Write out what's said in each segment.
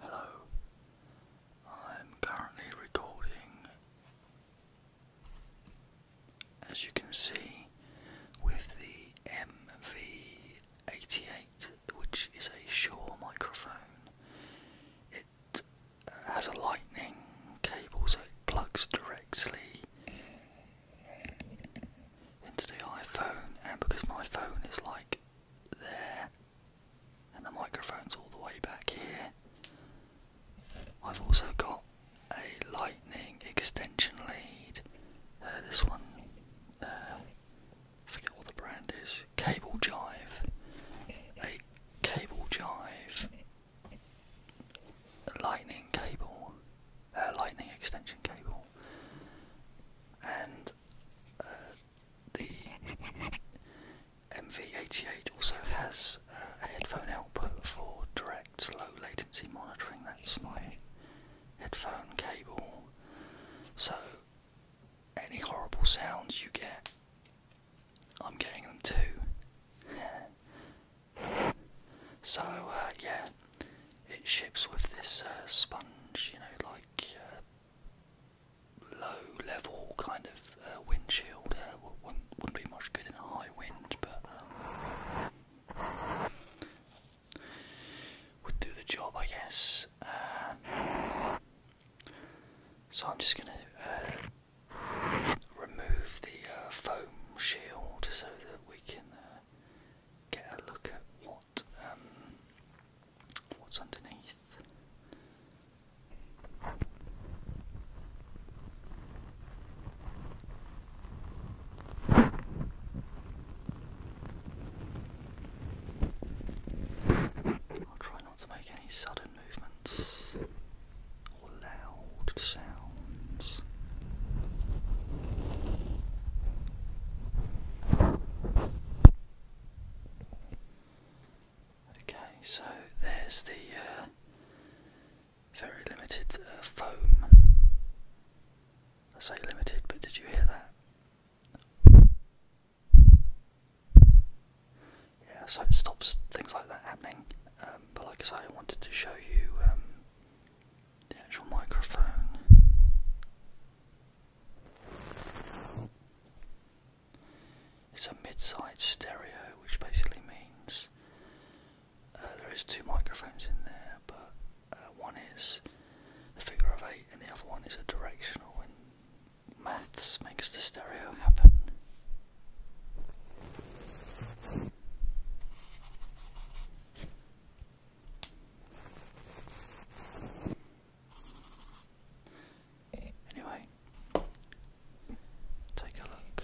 Hello, I'm currently recording, as you can see, with the MV88, which is a Shure microphone. It has a lightning cable so it plugs directly into the iPhone and because my phone is like there and the microphone's all the way back here I've also got a lightning extension lead uh, this one uh, forget what the brand is cable jive a cable jive lightning cable, uh, lightning extension cable, and uh, the MV88 also has uh, a headphone output for direct low latency monitoring. That's my headphone cable. So any horrible sounds you get I'm getting them too. so uh, yeah, it ships with this uh, sponge, you know, like uh, low level kind of uh, windshield. wouldn't, be much good in high wind, but um, would do the job, I guess. so I'm just gonna remove the uh, foam shield so that we can uh, get a look at what um, what's underneath. I'll try not to make any sudden movements or loud sounds. Okay, so there's the uh, very limited uh, foam. I say limited, but did you hear that? Yeah, so it stops things like that happening. Um, but like I said, I wanted to show you um, the actual microphone. It's a mid-side stereo, which basically means uh, there is two microphones in there, but uh, one is a figure of eight, and the other one is a directional. And maths makes the stereo happen. Anyway, take a look.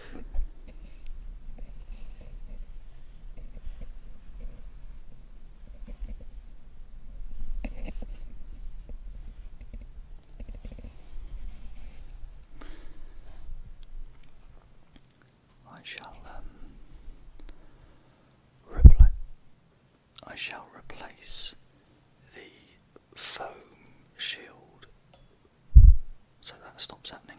Um, I shall replace the foam shield so that stops happening.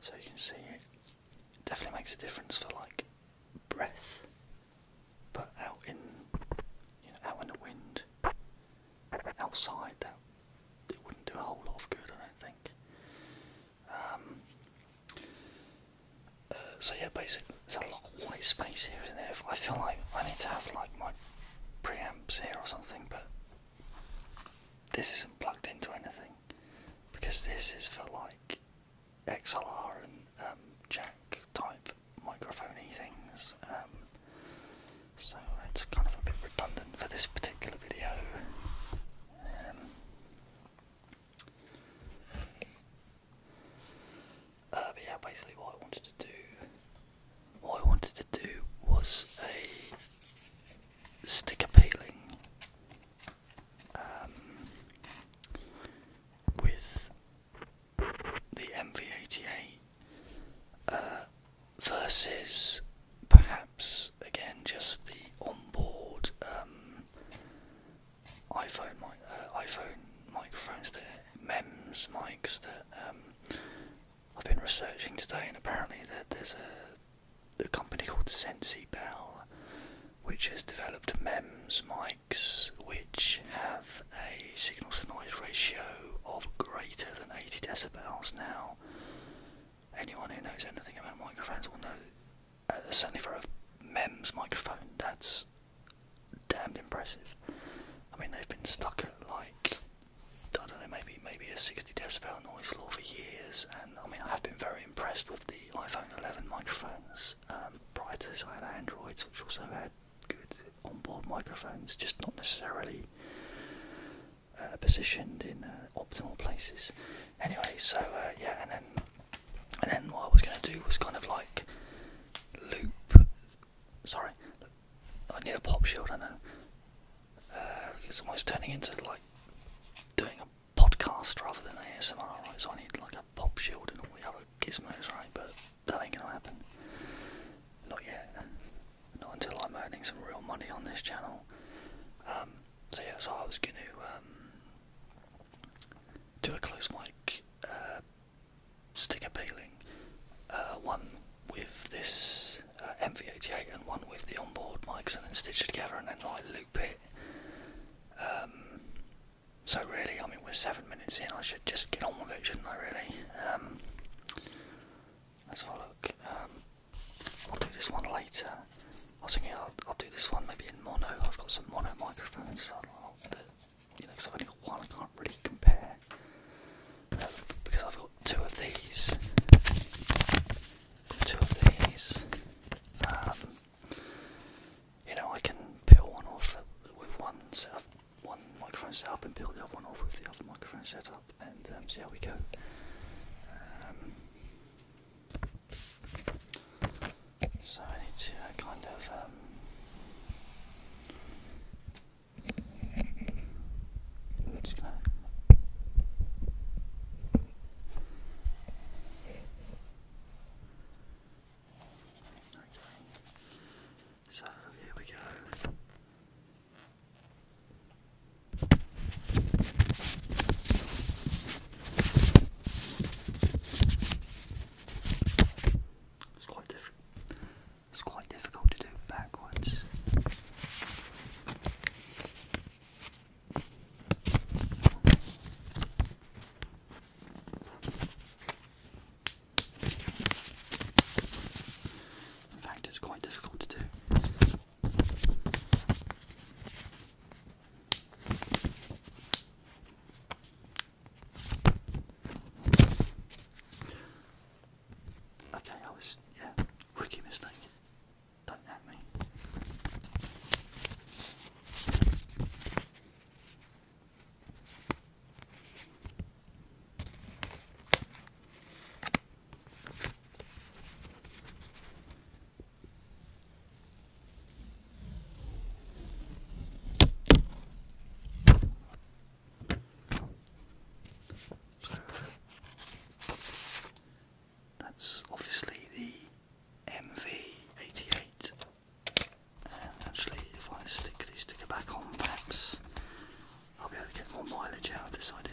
So you can see it definitely makes a difference for like breath, but out in you know out in the wind, outside that it wouldn't do a whole lot of good, I don't think. Um, uh, so yeah, basically, there's a lot of white space here isn't there? I feel like I need to have like my preamps here or something, but this isn't plugged into anything because this is for like XLR and um, jack type microphony things. Um, so it's kind of a bit redundant for this particular video. Um, uh, but yeah, basically what I wanted to do, what I wanted to do was a sticker peeling um, with the MV88 uh, versus perhaps again just the onboard um, iPhone mic uh, iPhone microphones the MEMS mics that um, I've been researching today, and apparently there's a, a company called Sensi Bell which has developed MEMS mics which have a signal to noise ratio of greater than 80 decibels now. Anyone who knows anything about microphones will know certainly for a MEMS microphone, that's damned impressive. I mean, they've been stuck at like I don't know, maybe maybe a 60 decibel noise floor for years, and I mean, I have been very impressed with the iPhone 11 microphones. Um, prior to this, I had Androids, which also had good onboard microphones, just not necessarily uh, positioned in uh, optimal places. Anyway, so uh, yeah, and then and then what I was going to do was kind of like loop. Sorry, I need a pop shield. I know. it's uh, almost turning into like doing a podcast rather than ASMR, right? So I need like a pop shield and all the other gizmos, right? But that ain't gonna happen. Not yet. Not until I'm earning some real money on this channel. Um, so yeah, so I was gonna um, do a close mic uh, sticker peeling, uh, one with this uh, MV88 and one with the onboard mics, and then stitch it together and then like loop it. Um, so really, I mean, we're seven minutes in. I should just get on with it, shouldn't I? Really. Um, let's have a look. Um, I'll do this one later. I was thinking I'll, do this one maybe in mono. I've got some mono microphones, so I'll, i know, only got one, I can't really compare. Um, because I've got two of these, two of these. Um, you know, I can peel one off with one setup, one microphone setup, and peel the other one off with the other microphone setup, and um, see how we go. So I need to uh, kind of um, Okay. So here we go. It's quite difficult. It's quite difficult to do backwards. In fact, it's quite difficult to do Okay, I was, yeah, rookie mistake. Don't at me. So that's obviously the MV88. And actually, if I stick the sticker back on, perhaps I'll be able to get more mileage out of this idea.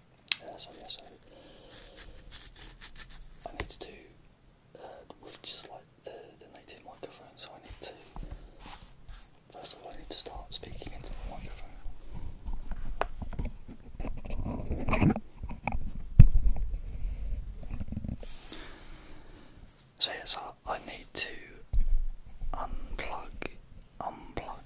Uh, so yeah, so I need to do uh, with just like the, the native microphone. So I need to first of all I need to start speaking into the microphone. So yes, I, I need to unplug, unplug.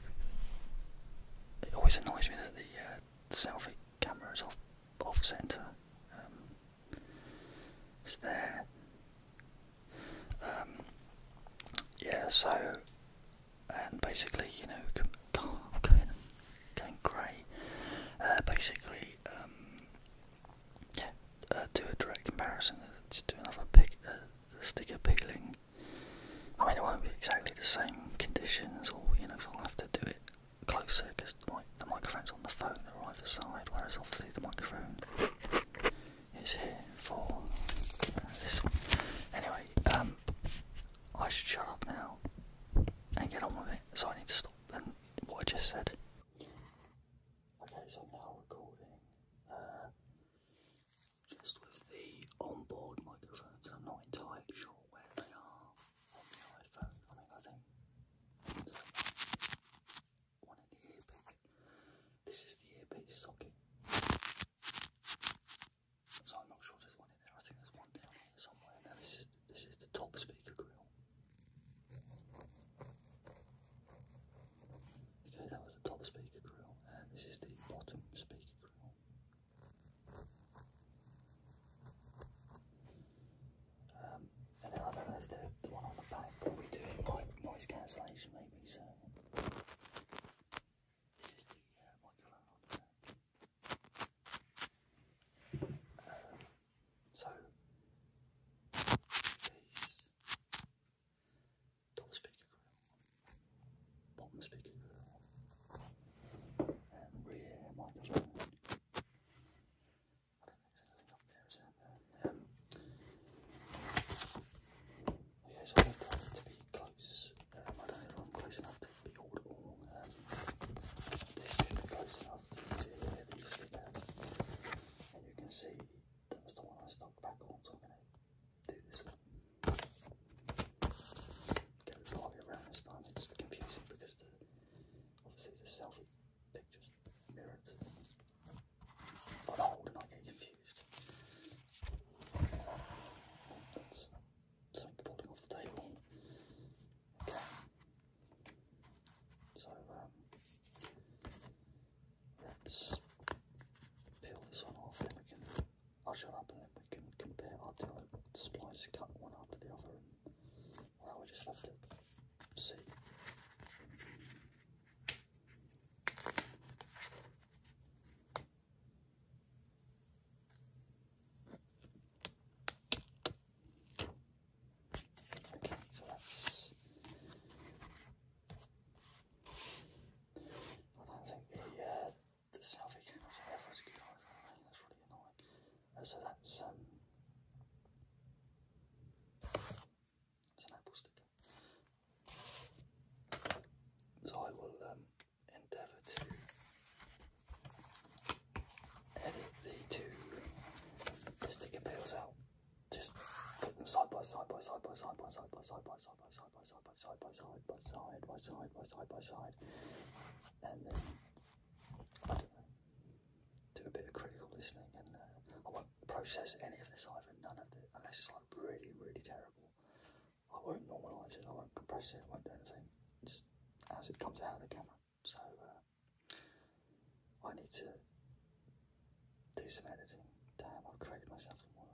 It always annoys me that the uh, selfie cameras off off center. Um, it's there. Um, yeah. So and basically, you know, God, I'm going, grey. Uh, basically, um, yeah. Uh, do a direct comparison. Let's do another uh, sticker peeling I mean, it won't be exactly the same conditions or you know, i I'll have to do it closer because the microphone's on the phone or either side, whereas obviously the microphone is here for this one. Anyway, um, I should shut up now and get on with it. So I need to stop and what I just said. Okay, so I'm now recording. Uh, just with the onboard microphones. I'm not entirely sure where they are on the iPhone. I mean, I think one in the earpiece. This is the earpiece socket. So I'm not sure there's one there. I think there's one down here somewhere. Now this is this is the top speaker grill. Okay, that was the top speaker grill, and this is the bottom speaker grill. Um, and then I know if the, the one on the back will be doing noise cancellation maybe, so this is the uh, microphone um, so these Double speaker grill, bottom speaker grill, and rear microphone. I don't think there's anything up there, is there? Uh, okay, so I'm to be close. Uh, I don't know if I'm close enough to be audible. this should be close enough to hear the speaker. And you can see that's the one I stuck back on, so I'm going to do this one. Go the way around this time. It's confusing because the obviously the selfie pictures mirror to hold and I get confused. That's something falling off the table. Okay. So let's peel this one off, then I'll shut up and then we can compare our displays, cut one after the other, and well, we just have to see. Okay, so that's I don't think the, uh, the selfie camera for good that's really annoying. Uh, so that's, um, an Apple sticker. So I will um, endeavour to edit the two sticker pills out. Just put them side by side by side by side by side by side by side side by side by side by side by side by side by side by side by side, and then I don't know, do a bit of critical listening, and uh, I won't process any of this either, none of it, unless it's like really really terrible. I won't normalise it, I won't compress it, I won't do anything. Just as it comes out of the camera. So uh, I need to do some editing. Damn, I've created myself some work.